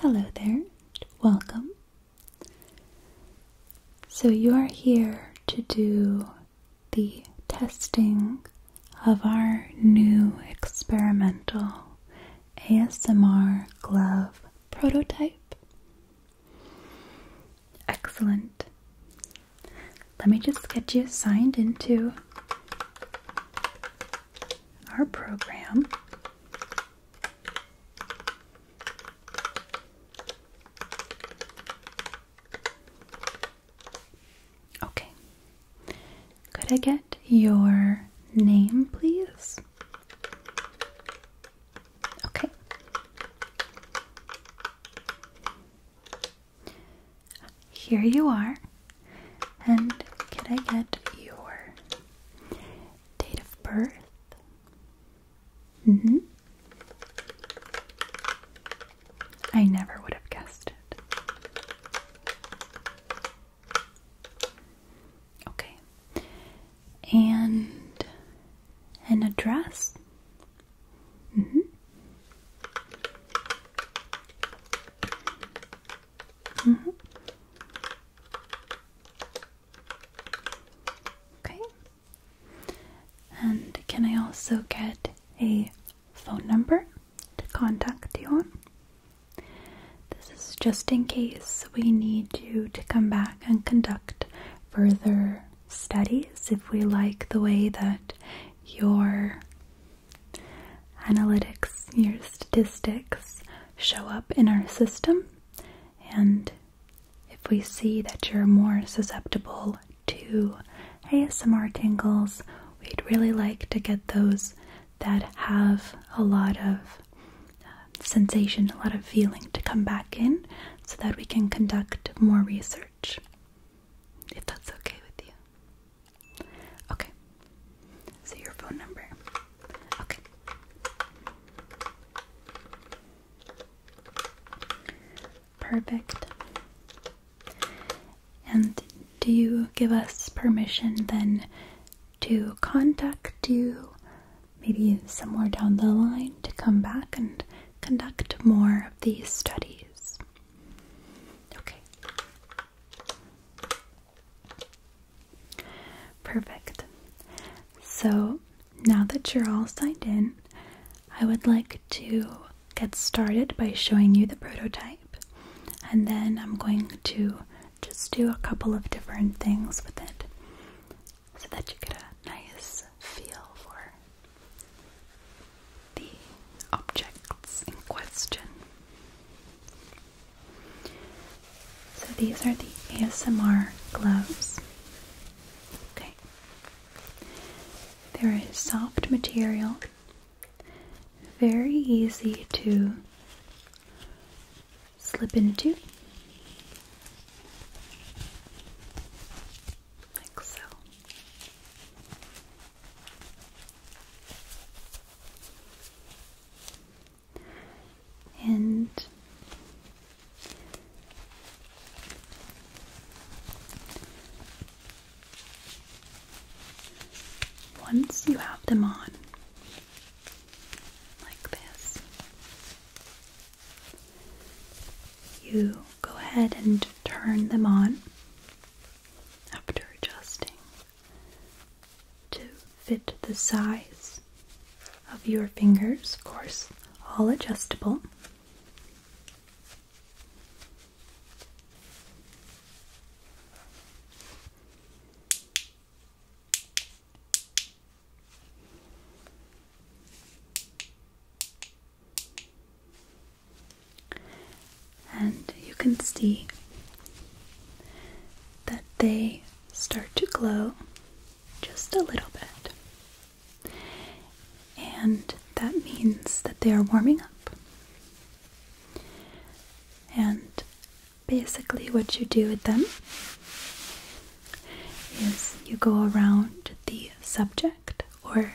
Hello there, welcome. So, you are here to do the testing of our new experimental ASMR glove prototype. Excellent. Let me just get you signed into our program. Okay. Could I get your name, please? Okay. Here you are. And can I get your date of birth? Mm hmm. I never would have guessed it. Okay. And and address. dress. Mm -hmm. Mm -hmm. Okay. And can I also get a phone number to contact you on? This is just in case we need you to come back and conduct further studies, if we like the way that your analytics, your statistics show up in our system, and if we see that you're more susceptible to ASMR tingles, we'd really like to get those that have a lot of uh, sensation, a lot of feeling to come back in so that we can conduct more research if that's okay with you. Okay. So your phone number. Okay. Perfect. And do you give us permission then to contact you maybe somewhere down the line to come back and conduct more of these studies. Okay. Perfect. So now that you're all signed in, I would like to get started by showing you the prototype, and then I'm going to just do a couple of different things with it so that you get a nice feel for the objects in question. So these are the ASMR gloves. Okay. They're a soft material, very easy to slip into like so. And once you have them on, like this, you go ahead and turn them on after adjusting to fit the size of your fingers, of course, all adjustable. And you can see that they start to glow just a little bit. And that means that they are warming up. And basically, what you do with them is you go around the subject or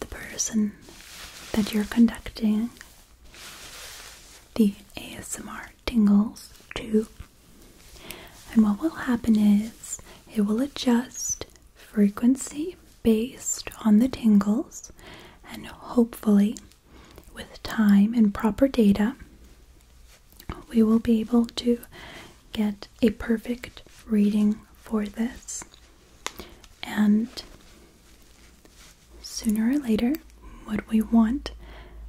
the person that you're conducting the ASMR tingles to. And what will happen is it will adjust frequency based on the tingles, and hopefully, with time and proper data, we will be able to get a perfect reading for this. And sooner or later, what we want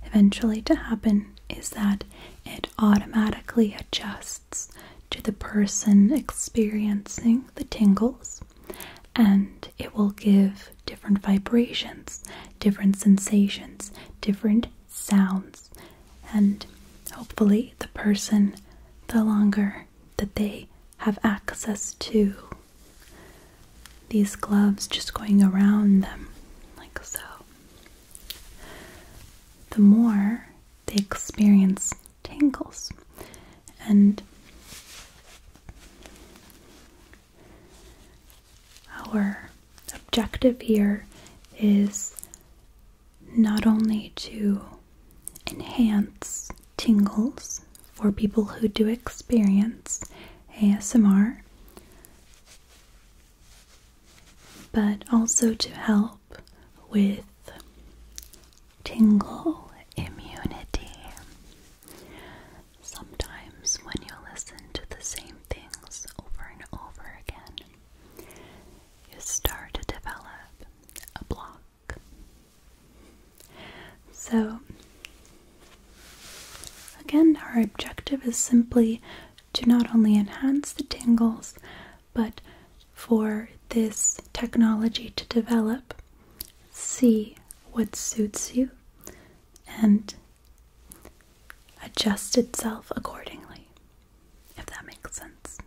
eventually to happen is that it automatically adjusts to the person experiencing the tingles and it will give different vibrations, different sensations, different sounds, and hopefully, the person, the longer that they have access to these gloves just going around them, like so, the more they experience tingles. And our objective here is not only to enhance tingles for people who do experience ASMR, but also to help with tingle immunity. Sometimes when you listen to the same things over and over again, you start to develop a block. So, again, our objective is simply to not only enhance the tingles, but for this technology to develop, see what suits you, and adjust itself accordingly, if that makes sense.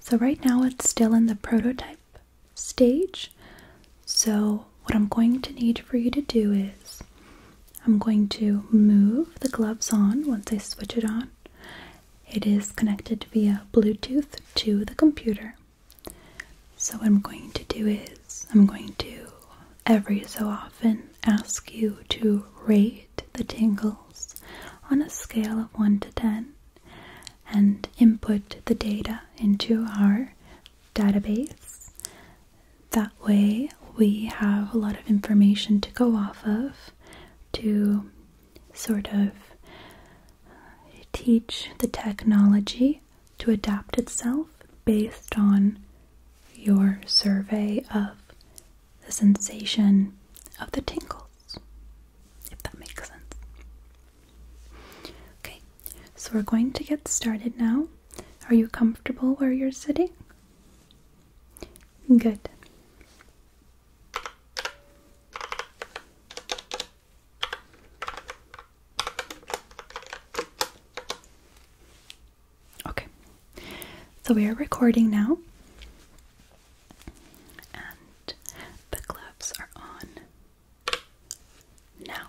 So, right now it's still in the prototype stage. So, what I'm going to need for you to do is I'm going to move the gloves on once I switch it on. It is connected via Bluetooth to the computer. So, what I'm going to do is, I'm going to every so often ask you to rate the tingles on a scale of 1 to 10 and input the data into our database. That way, we have a lot of information to go off of to sort of teach the technology to adapt itself based on your survey of the sensation of the tingles, if that makes sense. Okay, so we're going to get started now. Are you comfortable where you're sitting? Good. Okay, so we are recording now, and the gloves are on now.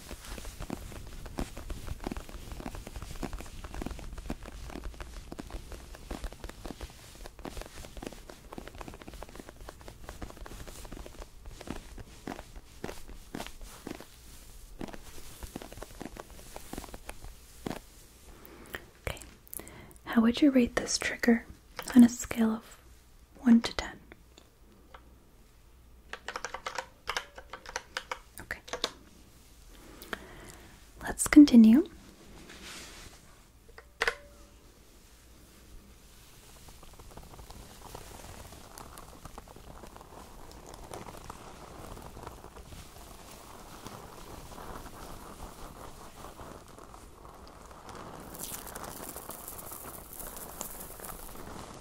Okay, how would you rate this trigger on a scale of 1 to 10? Okay. Let's continue.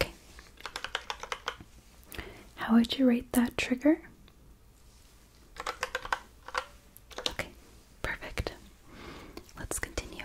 Okay. How would you rate that trigger? Okay. Perfect. Let's continue.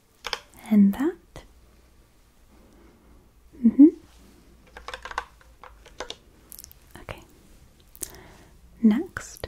and that. Mm hmm. Okay. Next.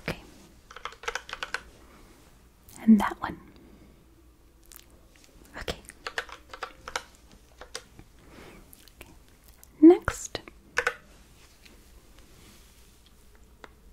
Okay. And that one. Okay. Next.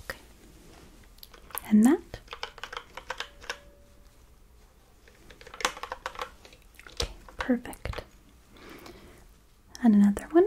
Okay. And that? Okay, perfect. And another one.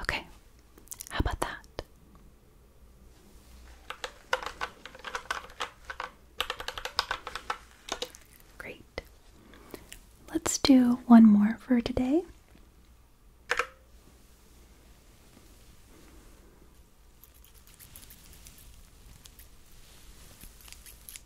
Okay, how about that? Great. Let's do one more for today.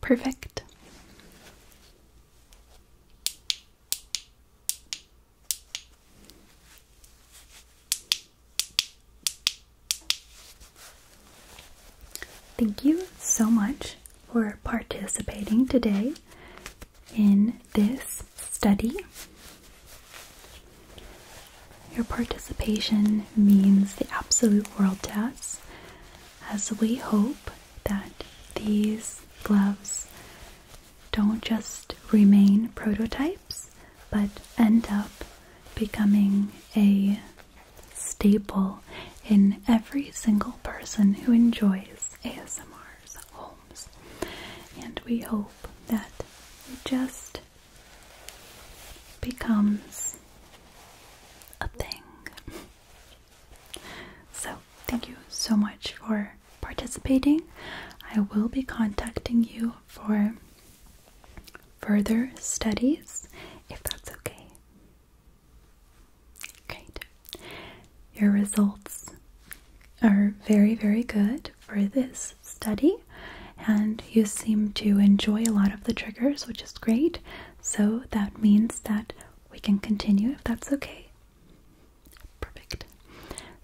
Perfect. Thank you so much for participating today in this study. Your participation means the absolute world to us as we hope that these gloves don't just remain prototypes but end up becoming a staple in every single person who enjoys ASMRs homes. And we hope that it just becomes a thing. So, thank you so much for participating. I will be contacting you for further studies if that's okay. Great. Your results are very, very good for this study, and you seem to enjoy a lot of the triggers, which is great. So that means that we can continue if that's okay. Perfect.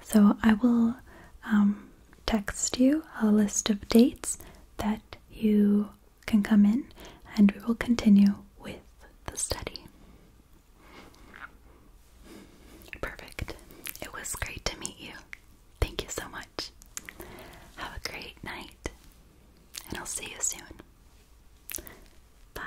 So I will um, text you a list of dates that you can come in, and we will continue with the study. Perfect. It was great to meet you. Thank you so much. Have a great night, and I'll see you soon. Bye.